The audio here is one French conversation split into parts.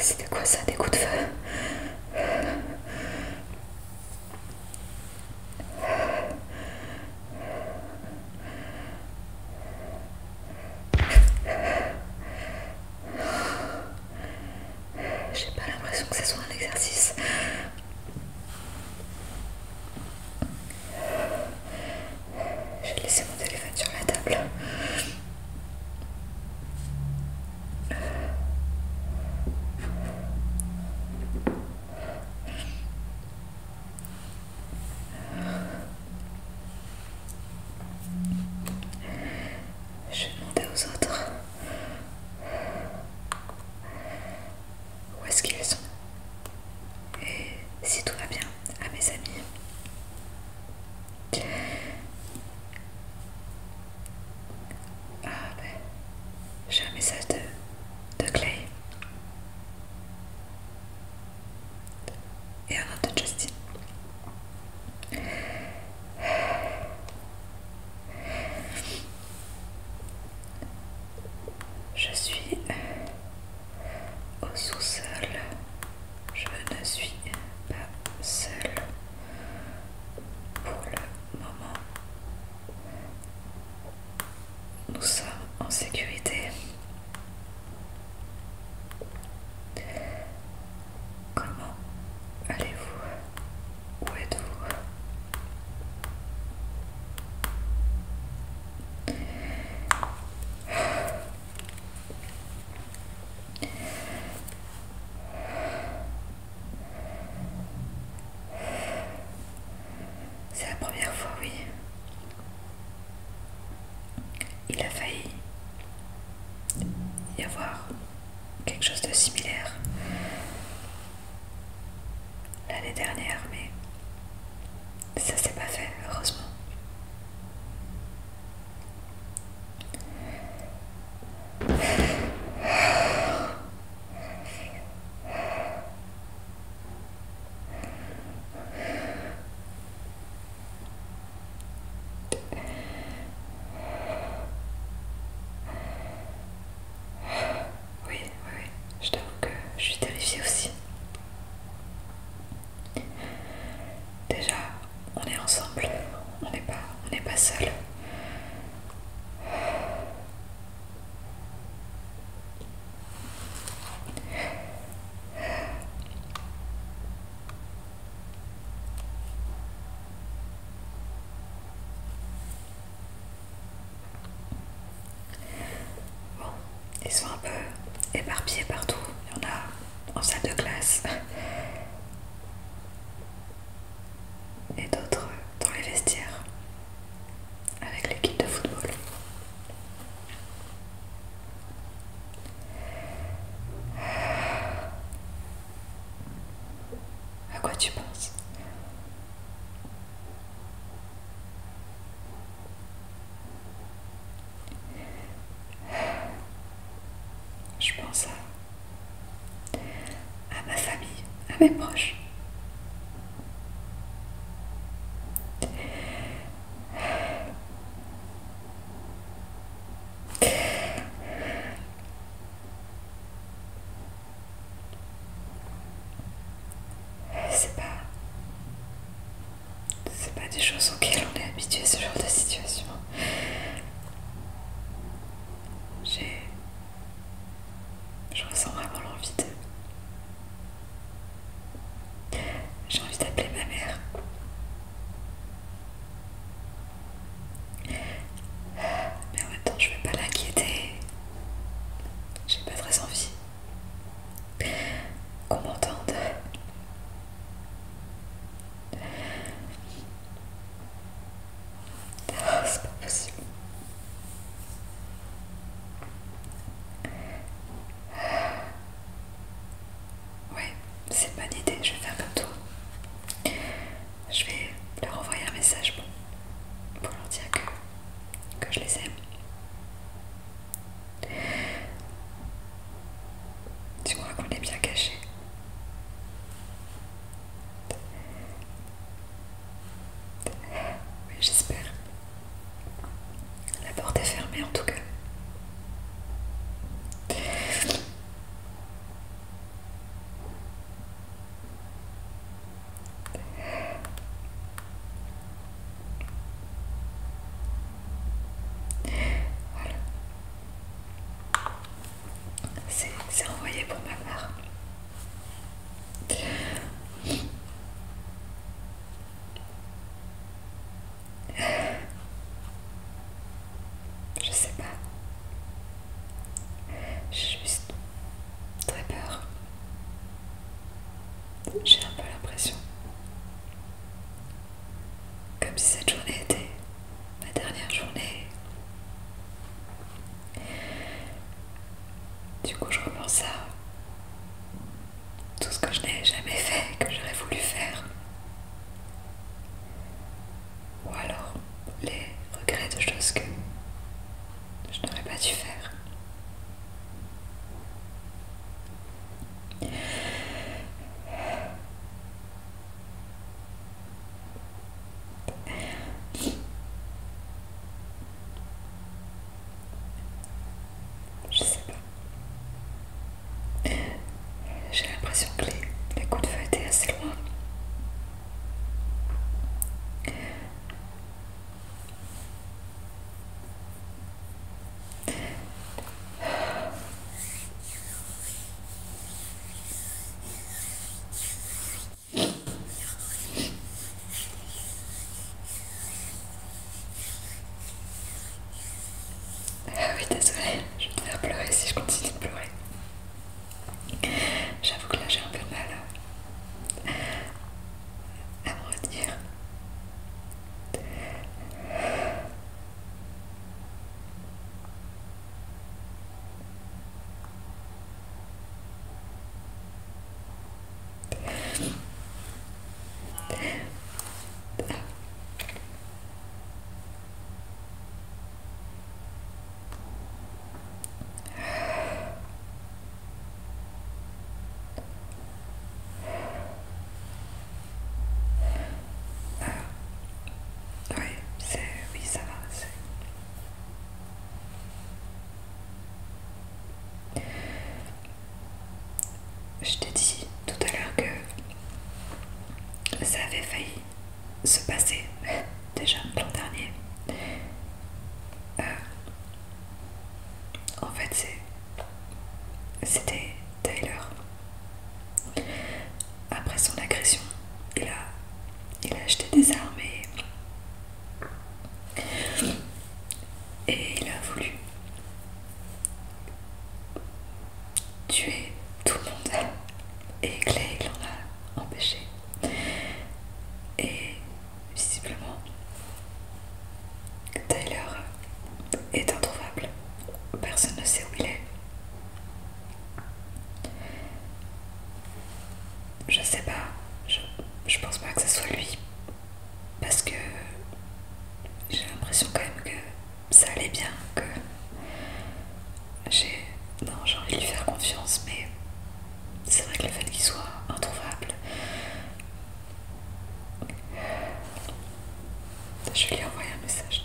C'était quoi ça, des coups de feu j'ai pas l'impression que ce soit un exercice. J'ai laissé mon téléphone sur la table. Je vais demander aux autres où est-ce qu'ils sont. Et si tout va bien, à mes amis. Ah ben, j'ai un message de Clay. Et un autre de Justin. Je suis au sous-sol. Je ne suis pas seule pour le moment. Nous sommes en sécurité. Comment allez-vous Où êtes-vous C'est la première fois, oui. Il a failli y avoir quelque chose de similaire l'année dernière, mais ça s'est pas fait, heureusement. Oui, oui, oui, je t'avoue que je suis terrifiée aussi. Déjà, on est ensemble, on n'est pas, on n'est pas seul. Bon, ils sont un peu éparpillés partout. Il y en a en salle de classe et d'autres dans les vestiaires avec l'équipe de football. À quoi tu penses Je pense à, à ma famille, à mes proches. C'est pas... C'est pas des choses auxquelles on est habitué, ce genre de situation. J'ai... Je ressens vraiment l'envie de... J'ai envie d'appeler ma mère. Mais en même temps, je vais pas l'inquiéter. J'ai pas très envie qu'on m'entende. Oh, c'est pas possible. Ouais, c'est une bonne idée, je vais faire comme toi. Je vais leur envoyer un message pour, leur dire que, que je les aime. Tu vois qu'on est bien caché Oui, j'espère. La porte est fermée en tout cas. Voilà. C'est envoyé pour ma part. Je sais pas. J'ai juste très peur. J'ai un peu l'impression. Comme si cette journée était ma dernière journée. Du coup, je reprends ça tout ce que je n'ai jamais fait, que j'aurais voulu faire. Ou alors les regrets de choses que je n'aurais pas dû faire. Je sais pas. Euh, j'ai l'impression que les, les coups de feu étaient assez loin. Ah oui, désolée, je vais te faire pleurer si je continue de pleurer. J'avoue que là j'ai un peu de mal à me retenir. Oui, c'est... Oui, ça va, c'est... Je t'ai dit tout à l'heure que ça avait failli se passer déjà l'an dernier. Euh, en fait, c'était Tyler. Après son agression, il a, il a acheté des armes et et il a voulu tuer tout le monde. Et Clay l'en a empêché. Et visiblement, Tyler est introuvable. Personne ne sait où il est. Je sais pas, je, je pense pas que ce soit lui, parce que j'ai l'impression quand même que ça allait bien, que j'ai envie de lui faire confiance, mais c'est vrai que le fait qu'il soit introuvable, je lui envoyer un message.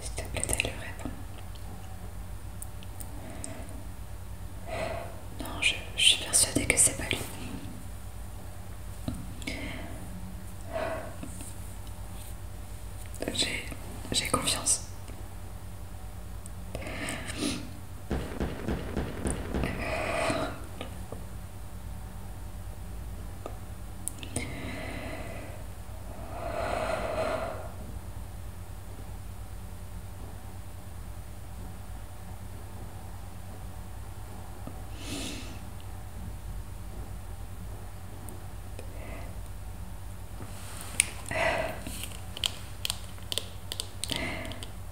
S'il te plaît, elle le répondre. Non, je, je suis persuadée que c'est pas lui. J'ai... j'ai confiance.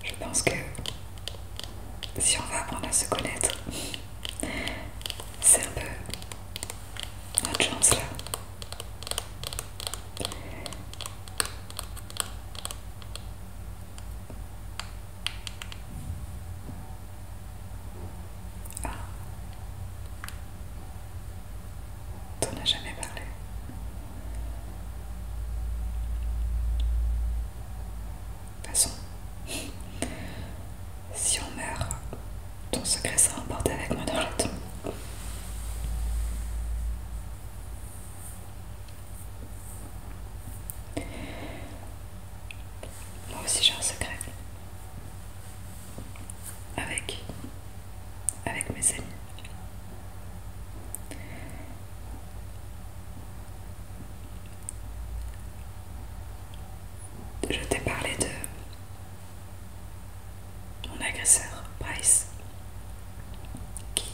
Je pense que si on va apprendre à se connaître, c'est un peu notre chance là. Ah. n'a jamais parlé. Passons. si on meurt, ton secret sera emporté avec moi dans le temps. Moi aussi j'ai un secret. Avec. Avec mes amis. Je t'ai parlé de mon agresseur, Bryce, qui,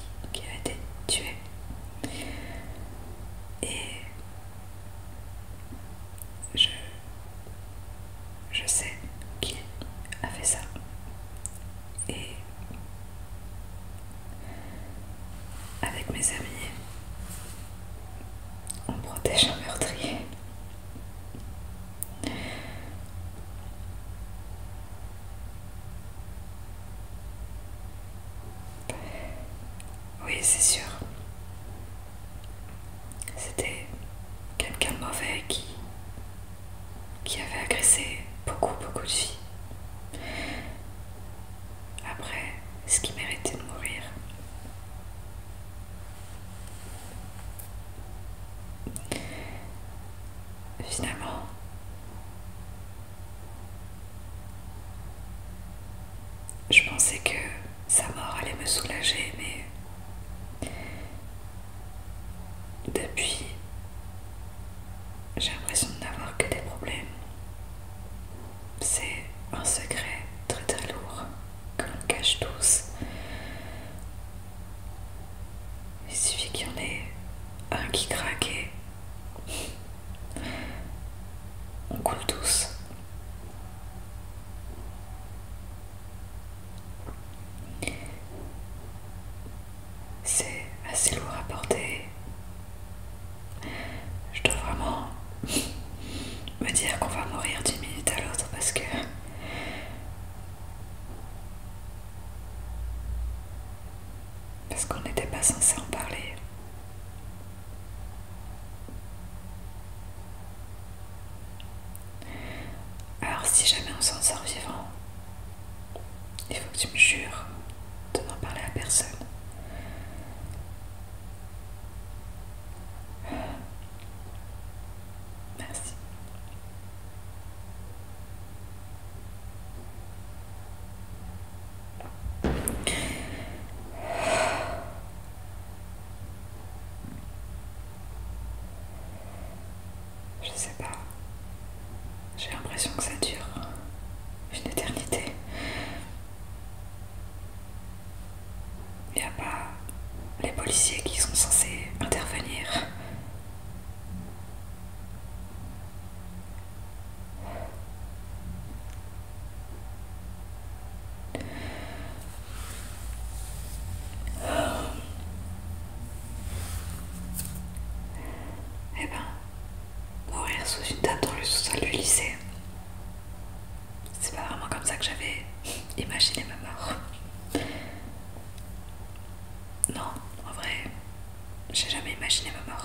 a été tué. Et je sais qui a fait ça. Et avec mes amis, on protège un meurtrier. Oui, c'est sûr. C'était quelqu'un de mauvais qui, avait agressé beaucoup, beaucoup de filles. Après, ce qui méritait de mourir. Finalement, je pensais que sa mort allait me soulager, mais depuis, j'ai l'impression de n'avoir que des problèmes c'est un secret très très lourd que l'on cache tous. Il suffit qu'il y en ait un qui craque et on coule tous. C'est assez lourd à porter. Je dois vraiment me dire qu'on va mourir d'une minute à l'autre parce que parce qu'on n'était pas censé en parler. Alors si jamais on s'en sort vivant, il faut que tu me jures de n'en parler à personne. Merci. Je sais pas. J'ai l'impression que ça dure une éternité. Il n'y a pas les policiers qui sont censés intervenir. Eh ben, mourir sous une table dans le sous-sol du lycée. C'est pas vraiment comme ça que j'avais imaginé ma mort. Non, en vrai, j'ai jamais imaginé ma mort.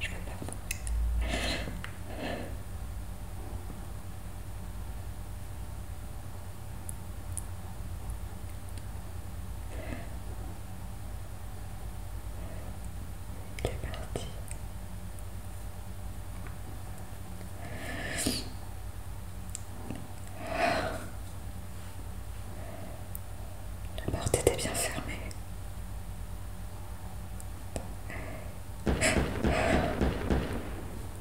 Je veux parti. La porte était bien fermée.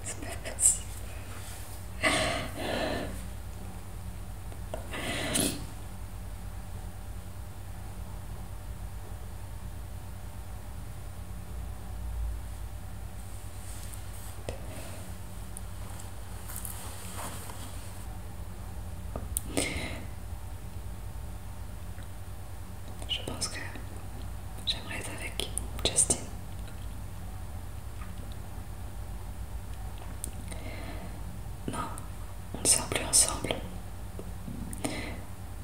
C'est pas je pense que j'aimerais être avec Justin. Non, on ne sort plus ensemble.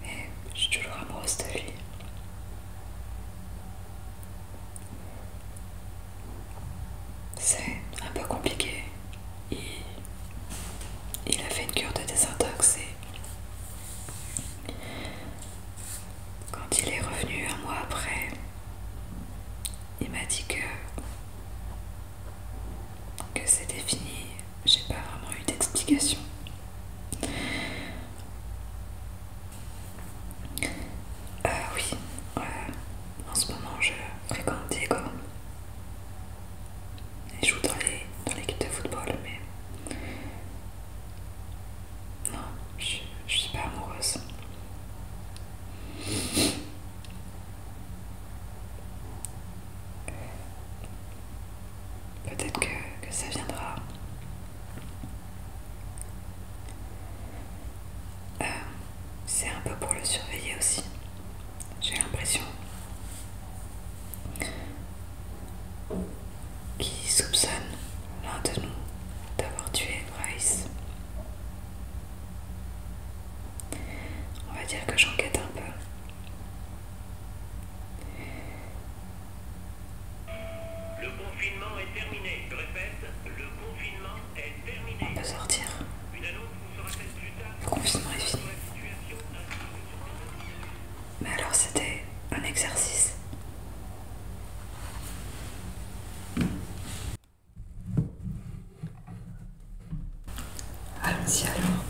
Mais je suis toujours amoureuse de lui. C'est un peu compliqué. Il, a fait une cure de désintox et quand il est revenu un mois après, il m'a dit que, que c'était fini. J'ai pas vraiment eu d'explication. Euh, oui, Ouais, euh, en ce moment je fréquente Diego. je joue dans l'équipe de football, mais non, je, je suis pas amoureuse. Peut-être que, que ça viendra. Euh, c'est un peu pour le surveiller aussi, j'ai l'impression. Qui soupçonne l'un de nous d'avoir tué Bryce. On va dire que j'enquête un peu. Le confinement est terminé. répète, le confinement on peut sortir. Le confinement est fini. Mais alors c'était un exercice. Allons-y alors.